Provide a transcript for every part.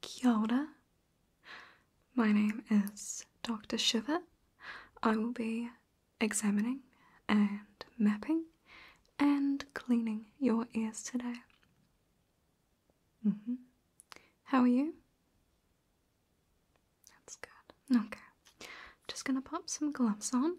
Kia My name is Dr. Shiva. I will be examining and mapping and cleaning your ears today. Mm-hmm. How are you? That's good. Okay. I'm just gonna pop some gloves on.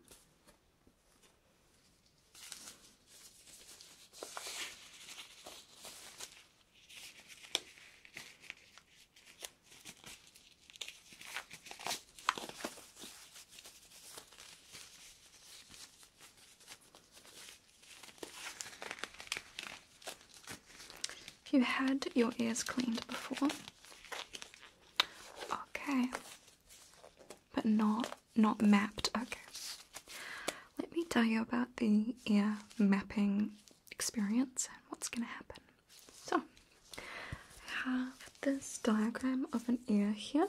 If you had your ears cleaned before, Okay. But not not mapped. Okay. Let me tell you about the ear mapping experience and what's going to happen. So, I have this diagram of an ear here.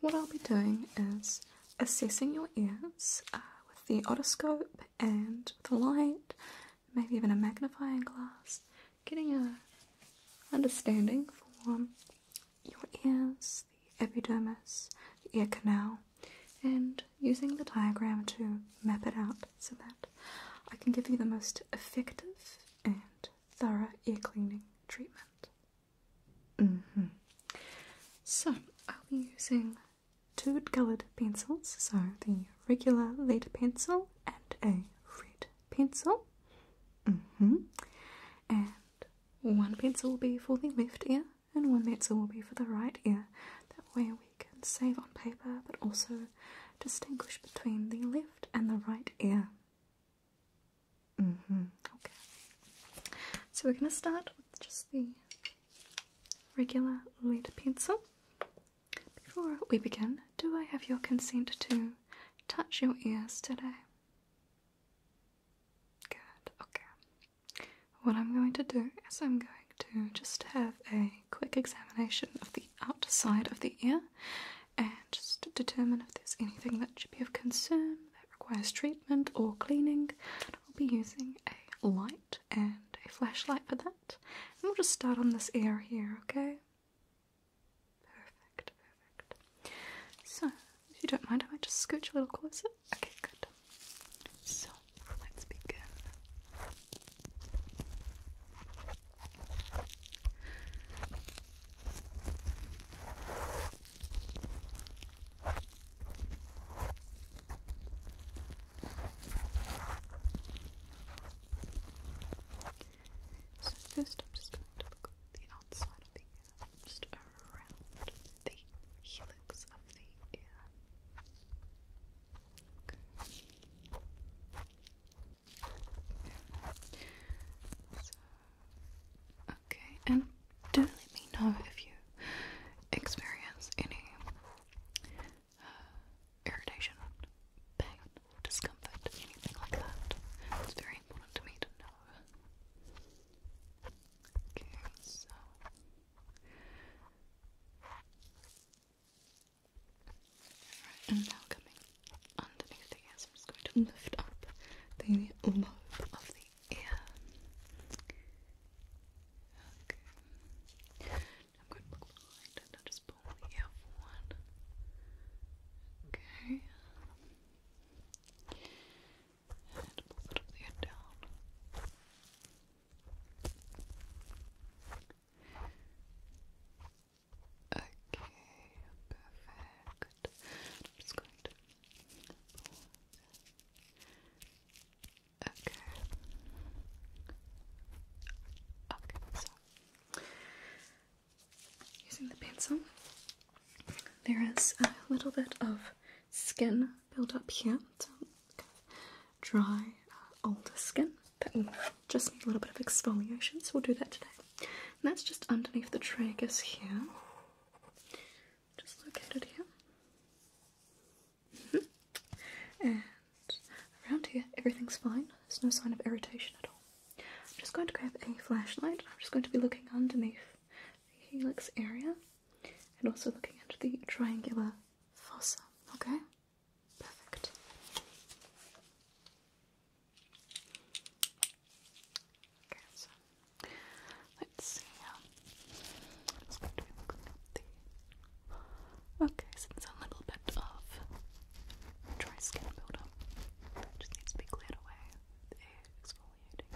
What I'll be doing is assessing your ears uh, with the otoscope and the light maybe even a magnifying glass, getting a understanding for your ears, the epidermis, the ear canal, and using the diagram to map it out so that I can give you the most effective and thorough ear cleaning treatment. Mm-hmm. So I'll be using two colour pencils, so the regular lead pencil and a red pencil. Mm-hmm. And one pencil will be for the left ear, and one pencil will be for the right ear. That way we can save on paper, but also distinguish between the left and the right ear. Mm-hmm. Okay. So we're going to start with just the regular lead pencil. Before we begin, do I have your consent to touch your ears today? Good, okay. What I'm going to do is I'm going to just have a quick examination of the outside of the ear and just determine if there's anything that should be of concern that requires treatment or cleaning. I'll be using a light and a flashlight for that. And we'll just start on this ear here, okay? Perfect, perfect. So, if you don't mind, I might just scooch a little closer. Okay, good. So, let's begin. So first I'm just going to look the outside of just around the helix of the ear. okay, and do let me know if you experience any irritation, pain, discomfort, anything like that. It's very important to me to know. Okay, so. and now coming underneath the ears, I'm just going to lift up the lobe of the ear. Okay. I'm going to look behind and just pull the ear one. Okay. And pull the top of down. Okay, perfect. I'm just going to pull Okay using the pencil, there is a little bit of skin buildup here. dry, uh, older skin that just need a little bit of exfoliation. So we'll do that today. that's just underneath the tragus here, just located here. and around here, everything's fine. There's no sign of irritation at all. I'm just going to grab a flashlight. I'm just going to be looking underneath the helix area and also looking into the triangular fossa. Okay? Perfect. let's see. Um, Okay, so there's a little bit of dry skin buildup just needs to be cleared away exfoliating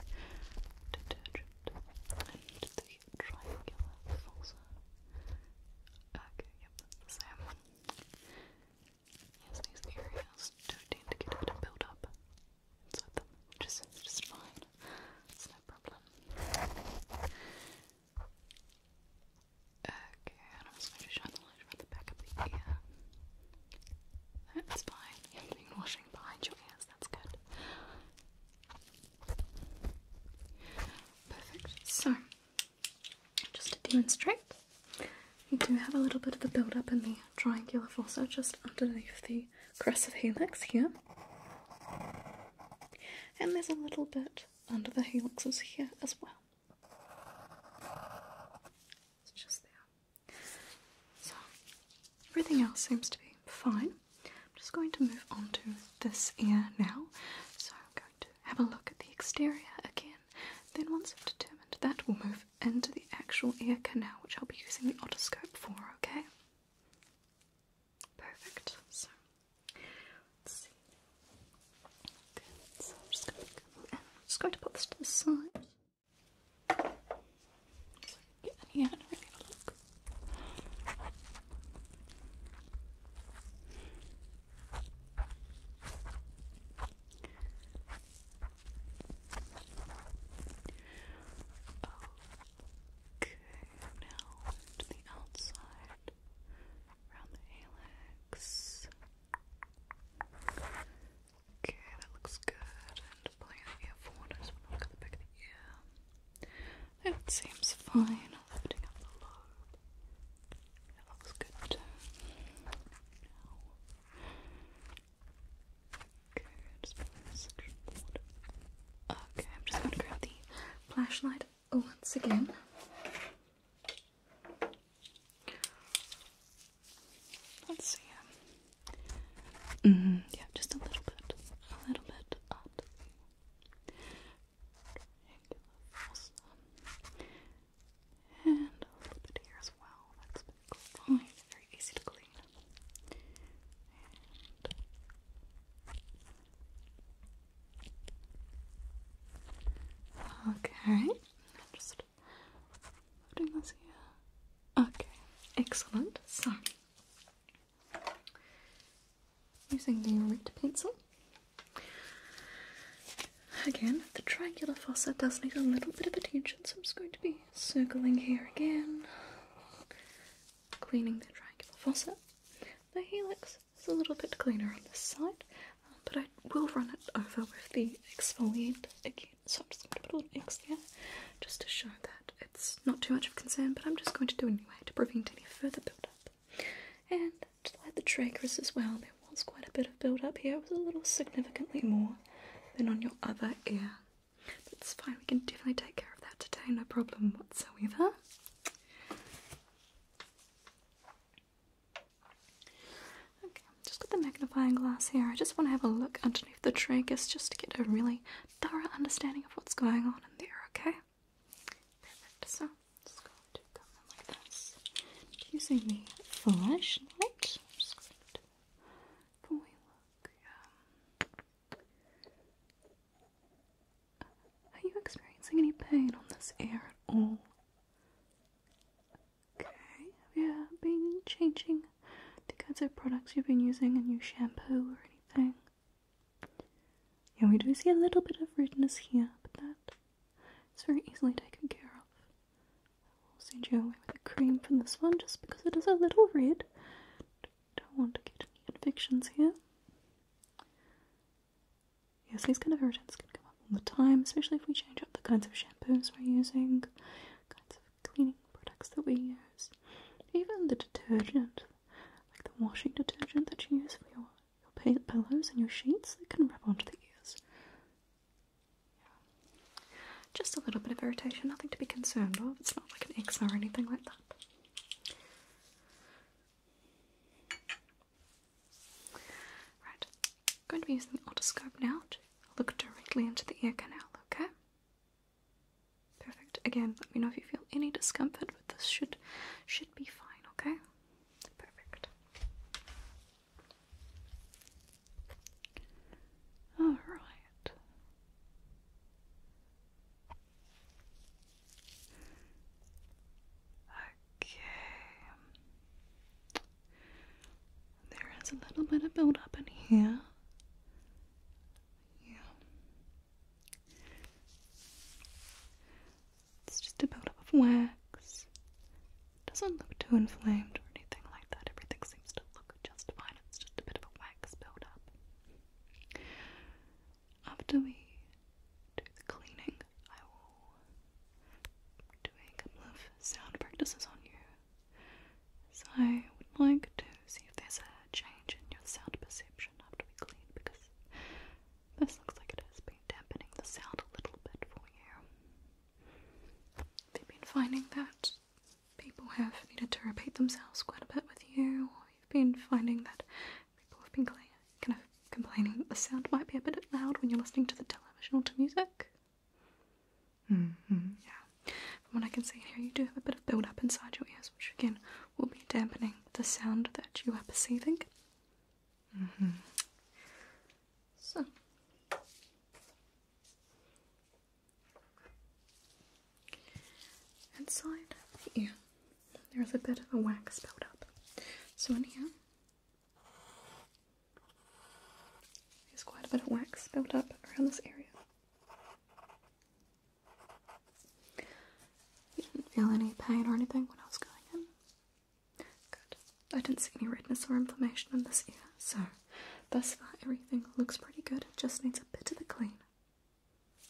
detergent and the triangular falsa. Okay, yep, that's the Yes, these areas do tend to get a bit inside them, which just fine. no problem. Okay, I'm just going to shine the light from the back of the ear. That's fine. You haven't been washing behind your ears, that's good. Perfect. So, just to demonstrate, you do have a little bit of a build up in the triangular fossa just underneath the crest of helix here. And there's a little bit under the helixes here as well. It's just there. So everything else seems to be fine. I'm just going to move on to this ear now. So I'm going to have a look at the exterior again. Then once I've determined that, we'll move into the actual ear canal, which I'll be using the otoscope for, okay? Perfect. So let's see. So I'm just gonna put this to the side. So get any out and have a look. Okay, now to the outside around the helix. Okay, that looks good. And pulling the ear forward, I just want to look at the back of the ear. It seems fine. Lifting up the lobe. That looks good too. Now. Okay, just pulling this section forward. Okay, I'm just going to grab the flashlight Oh, once again. Let's see. Mm-hmm. Yeah, just a little bit, a little bit And a little bit here as well. that Very easy to clean. Okay, just putting this here. Okay, excellent. So, using the red pencil. Again, the triangular fossa does need a little bit of attention, so I'm just going to be circling here again, cleaning the triangular fossa. The helix it's a little bit cleaner on this side, uh, but I will run it over with the exfoliant again. So I'm just going to put a little X there just to show that it's not too much of concern, but I'm just going to do it anyway to prevent any further build-up. And to light the trackers as well, there was quite a bit of build-up here. It was a little significantly more than on your other ear. That's fine, we can definitely take care of that today, no problem whatsoever. Okay, just got the magnifying glass here. I just want to have a look underneath the tragus just to get a really thorough understanding of what's going on in there, okay? Perfect. So, just going to come in like this. Using the flashlight, I'm just going to before are you experiencing any pain on this ear at all? Okay, have you been changing the kinds of products you've been using, a new shampoo or anything? Yeah, we do see a little bit of redness here, but that is very easily taken care of. I'll send you away with a cream from this one just because it is a little red. Don't want to get any infections here. Yes, these kind of irritants can come up all the time, especially if we change up the kinds of shampoos we're using, kinds of cleaning products that we use, even the detergent, like the washing detergent that you use for your, your pillows and your sheets, that can rub onto the ears. Just a little bit of irritation, nothing to be concerned of. It's not like an eczema or anything like that. Right, I'm going to be using the otoscope now to look directly into the ear canal, okay? Perfect. Again, let me know if you feel any discomfort, but this should should be fine, okay? Perfect. Alright. Okay. There is a little bit of buildup in here. Yeah. It's just a buildup of wax. It doesn't look too inflamed or anything like that. Everything seems to look just fine. It's just a bit of a wax buildup after we do the cleaning, I will do a couple of sound practices on you. So I would like to see if there's a change in your sound perception after we clean because this looks like it is being dampening the sound a little bit for you. Have been finding that people have needed to repeat themselves quite a bit with you, we have been finding that People have been kind of complaining that the sound might be a bit loud when you're listening to the television or to music. Mm-hmm. Yeah. From what I can see here, you do have a bit of build-up inside your ears, which again will be dampening the sound that you are perceiving. Mm-hmm. So. Inside the ear, there's a bit of a wax buildup. So in here, there's quite a bit of wax built up around this area. You didn't feel any pain or anything when I was going in? Good. I didn't see any redness or inflammation in this ear, so thus far everything looks pretty good. It just needs a bit of a clean.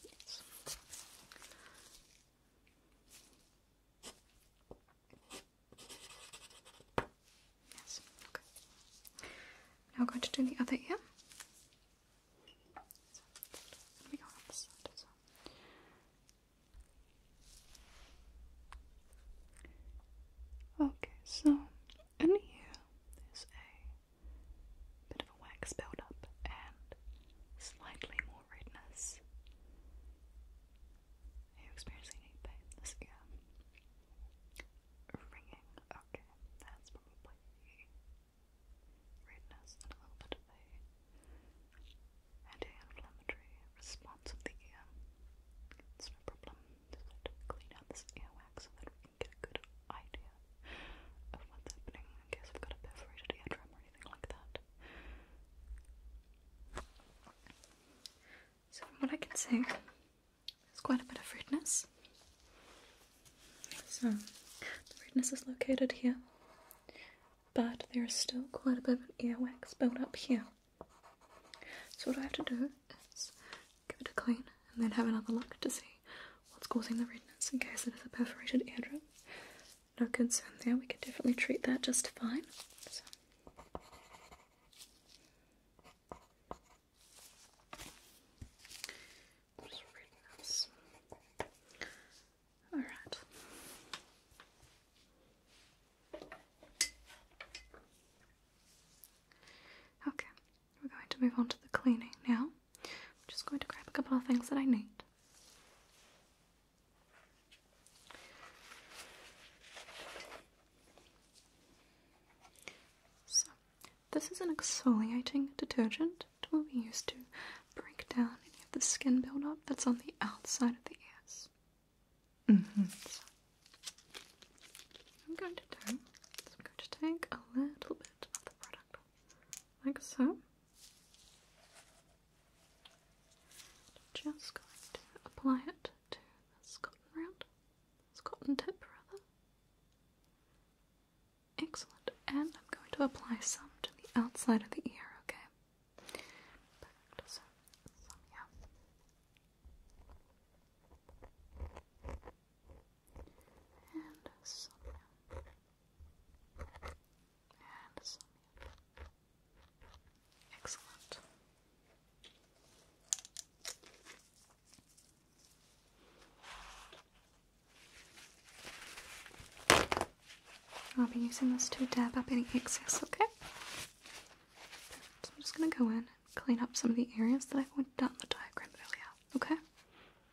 Yes. okay. Now we're going to do the other ear. Okay, so in here there's a a wax buildup and slightly more redness. Are you experiencing any pain in Ringing. Okay, that's probably redness and a little bit of a anti-inflammatory response of the ear. It's no problem. Just have to clean out this earwax so that we can get a good idea of what's happening in case we've got a perforated eardrum or anything like that. So, from what I can see, there's quite a bit of redness. So, the redness is located here, but there is still quite a bit of earwax built up here. So, what I have to do is give it a clean and then have another look to see what's causing the redness in case it is a perforated eardrum no concern there, we can definitely treat that just fine. All right. Okay, we're going to move on to the cleaning now. I'm just going to grab a couple of things that I need. So, this is an exfoliating detergent. It will be used to break down any of the skin buildup that's on the outside of the ears. Mm-hmm. so, I'm going to take a little bit of the product like so. Just going to apply it to the cotton round, cotton tip rather. Excellent, and I'm going to apply some to the outside of the ear, okay? Excellent. I'll be using this to dab up any excess, okay? So I'm just gonna go in and clean up some of the areas that I have went down the diagram earlier, okay?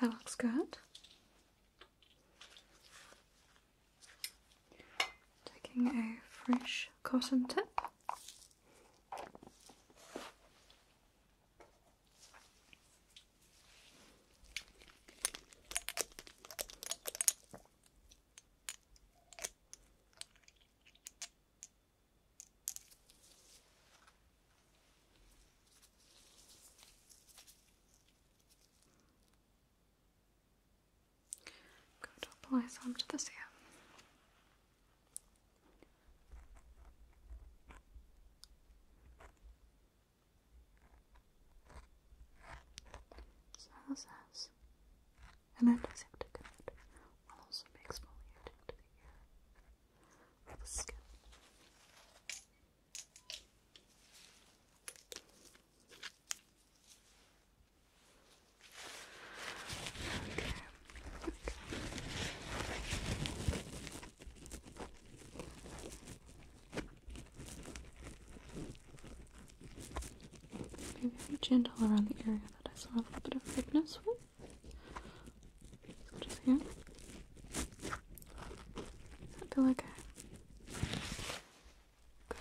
That looks good. Taking a fresh cotton tip. I'm to apply some to this ear. Salsas and antisepticant will also be exfoliated to the ear or the skin. Okay. Okay. Be very gentle around the area that I saw a little bit of redness with. Just here. I feel like Good.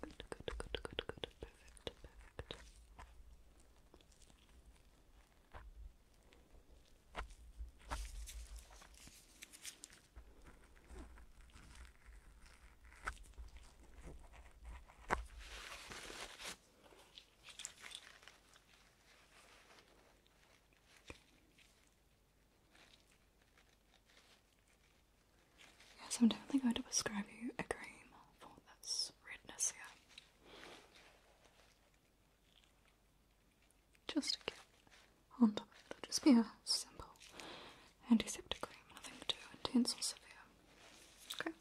Good, good, good, good, good. Perfect, perfect. Yes, I'm definitely going to prescribe you a cream for this redness here. Just to get on top of it. Just be a simple antiseptic cream, nothing too intense or severe. Okay.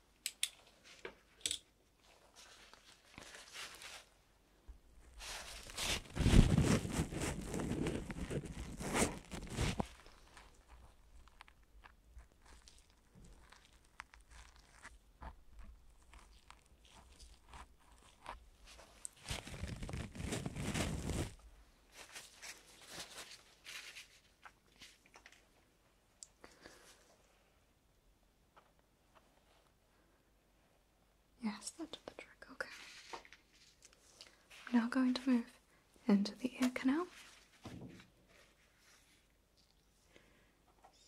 Yes, that did the trick. Okay. now going to move into the ear canal.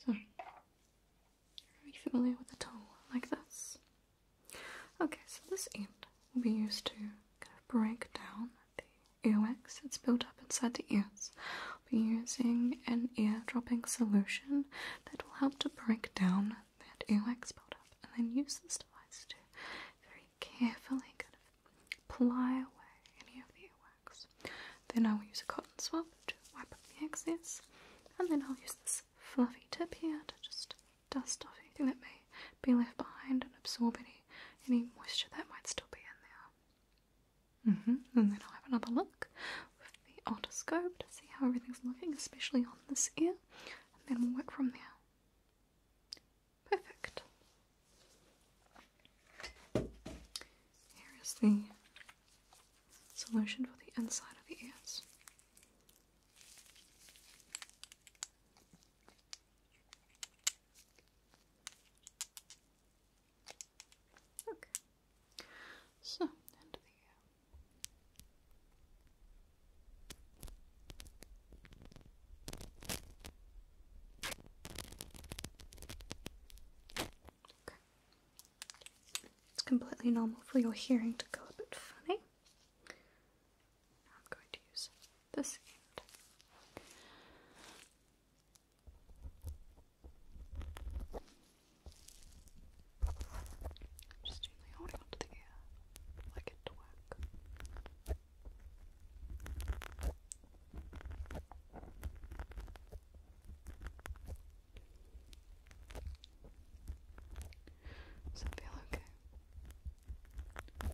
So, are you familiar with the tool like this? Okay, so this end will be used to kind of break down the earwax that's built up inside the ears. I'll be using an ear dropping solution that will help to break down that earwax built up, and then use this device to very carefully kind of ply away any of the earwax. Then I will use a cotton swab to wipe up the excess, and then I'll use this fluffy tip here to just dust off anything that may be left behind and absorb any any moisture that might still be in there. Mm-hmm. And then I'll have another look with the otoscope to see how everything's looking, especially on this ear, and then we'll work from there. Perfect. Here is the solution for the inside of the ears. Okay. So, end of the Okay. It's completely normal for your hearing to go a bit funny. I'm going to use this end. Just gently holding onto the ear like it to does that feel okay? Good.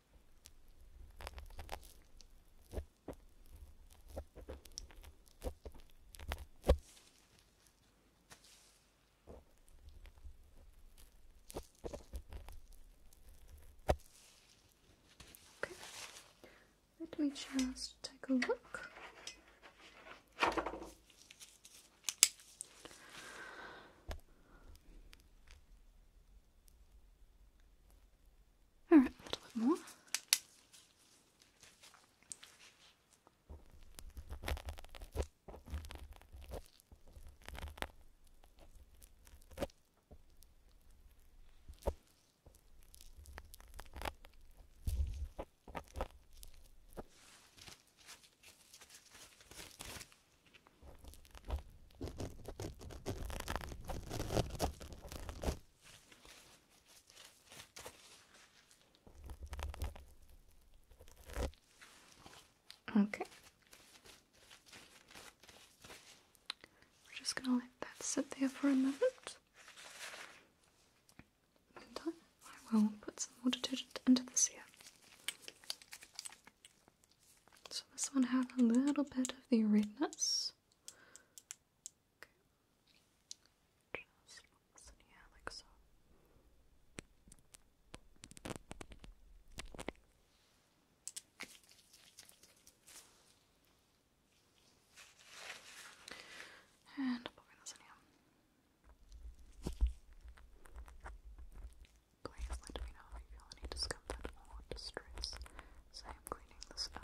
let me just take a look. All right, a little bit more. Okay. We're just gonna let that sit there for a moment. And I will put some more detergent into this here. So this one had a little bit of the redness. And i this in here. Please let me know if you feel any discomfort or distress, so I'm cleaning this out.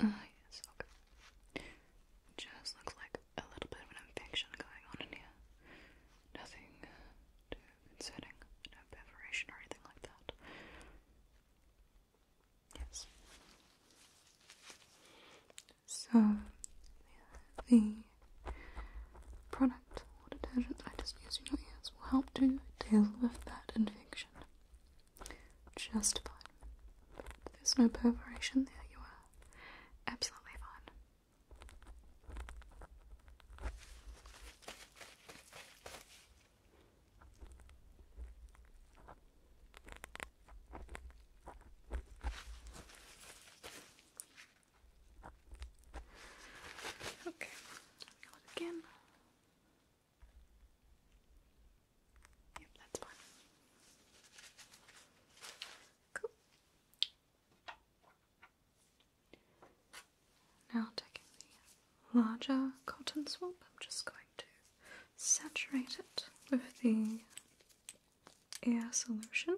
Oh, yes, okay. Just looks like a little bit of an infection going on in here. Nothing concerning, no perforation or anything like that. Yes. So, the product or detergent I just used in your ears will help to deal with that infection just fine. There's no perforation there, you are absolutely fine. Okay, out again. Yep, that's fine. Cool. Now taking the larger cotton swab, I'm just going to saturate it with the air solution.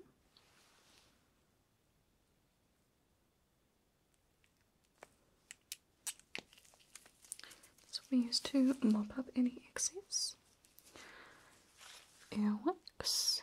So we use to mop up any excess airwax.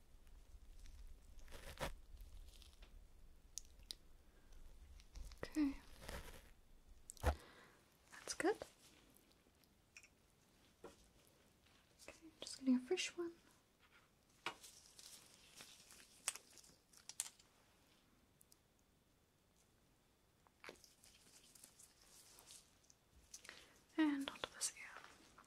Okay. That's good. Okay, just getting a fresh one. And onto this ear.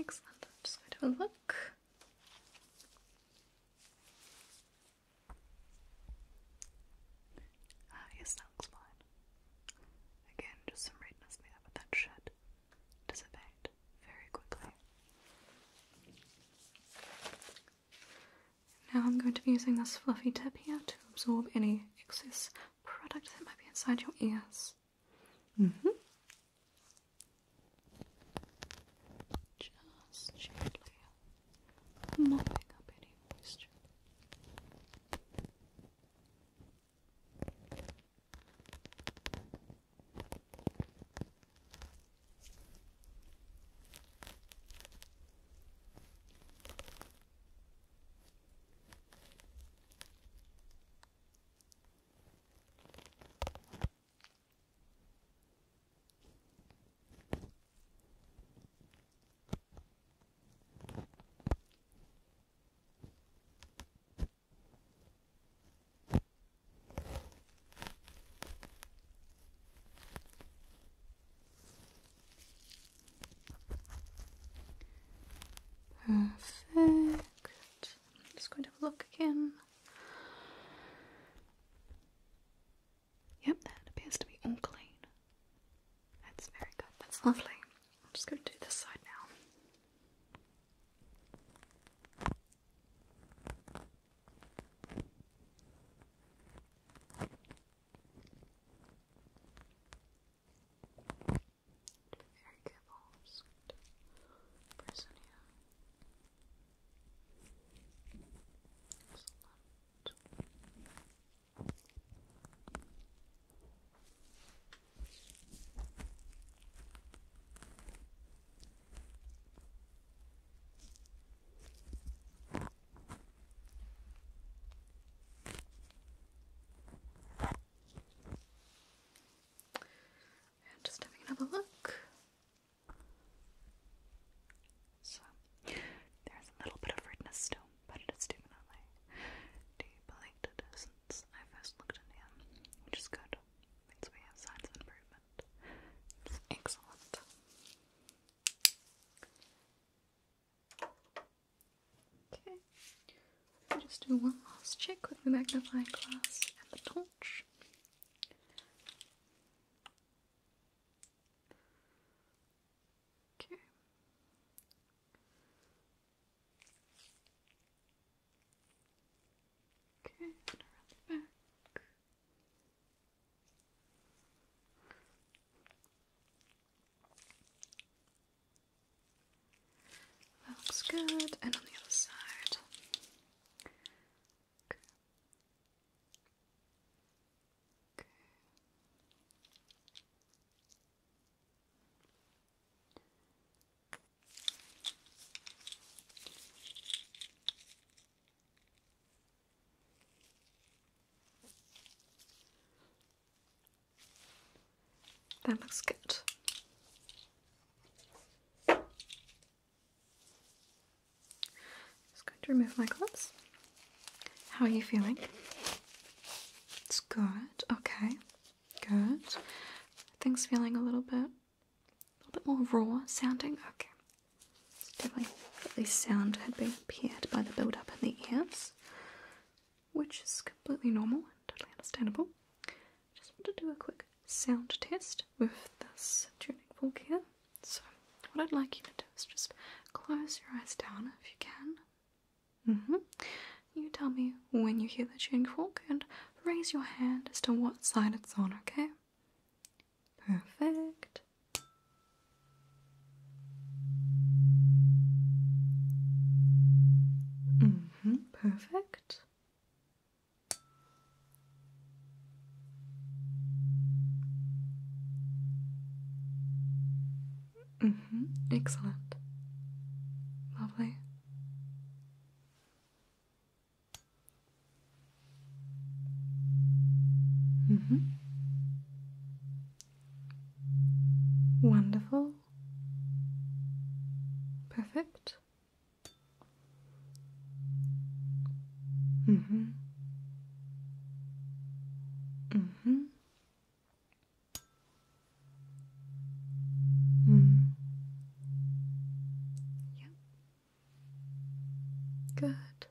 Excellent. I'm just going to have a look yes, ah, that fine. Again, just some redness there, but that should dissipate very quickly. Now I'm going to be using this fluffy tip here to absorb any excess product that might be inside your ears. hmm Just gently mopping up any moisture. Perfect. just going to have a look again. Yep, that appears to be unclean. That's very good, that's lovely. I'm just going to do this side now. I'm just having another look. So there's a little bit of redness still, but it is definitely deep it since I first looked at him, which is good. Means we have signs of improvement. It's excellent. Okay. I'll just do one last check with the magnifying glass and the torch. Okay. Okay, That looks good. And on the other side. That looks good. Just going to remove my gloves. How are you feeling? It's good. Okay. Good. Things feeling a little bit, a little bit more raw sounding. Okay. definitely, this sound had been impaired by the build-up in the ears, which is completely normal and totally understandable. Just want to do a quick sound test with this tuning fork here. So, what I'd like you to do is just close your eyes down if you can. Mm-hmm. You tell me when you hear the tuning fork and raise your hand as to what side it's on, okay? Perfect. hmm. Perfect. Mm -hmm. Excellent. Lovely. Mm -hmm. Wonderful. Perfect. Mm -hmm. Mm-hmm. Yep. Good.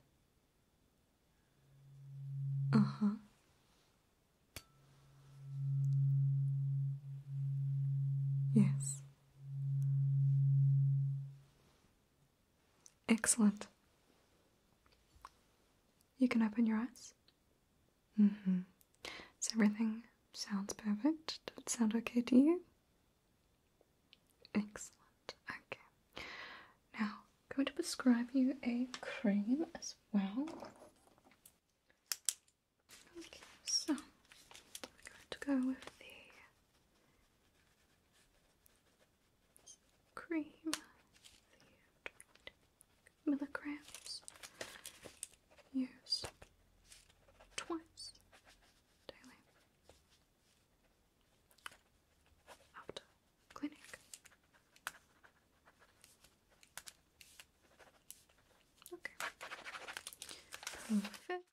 Uh-huh. Yes. Excellent. You can open your eyes. hmm Does everything sounds perfect? Does it sound okay to you? Excellent. Okay. Now, I'm going to prescribe you a cream as well. so going to go with the cream milligrams use twice daily after clinic. Okay. Perfect.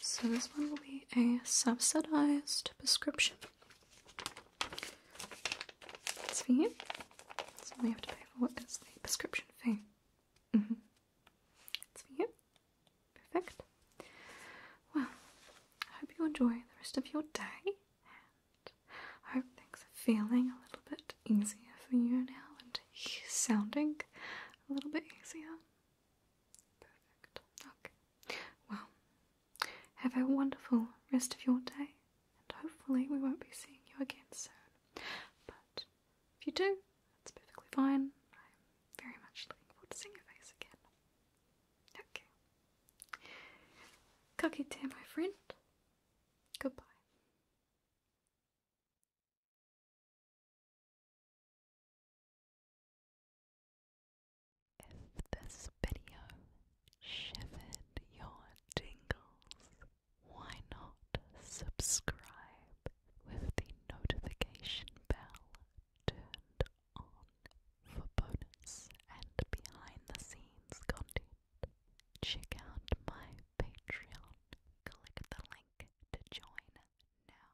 So this one will be a subsidized prescription. It's for you. So all you have to pay for what is the prescription fee. Mm -hmm. It's for you. Perfect. Well, I hope you enjoy the rest of your day, and I hope things are feeling a little bit easier for you now and sounding a little bit easier. Perfect. Okay. Well, have a wonderful rest of your day, and hopefully, we won't be seeing you again soon. But if you do, that's perfectly fine. I'm very much looking forward to seeing your face again. Okay. Kakite, my friend. Goodbye. If this video shivered your tingles, why not subscribe with the notification bell turned on for bonus and behind the scenes content? Check out my Patreon. Click the link to join now.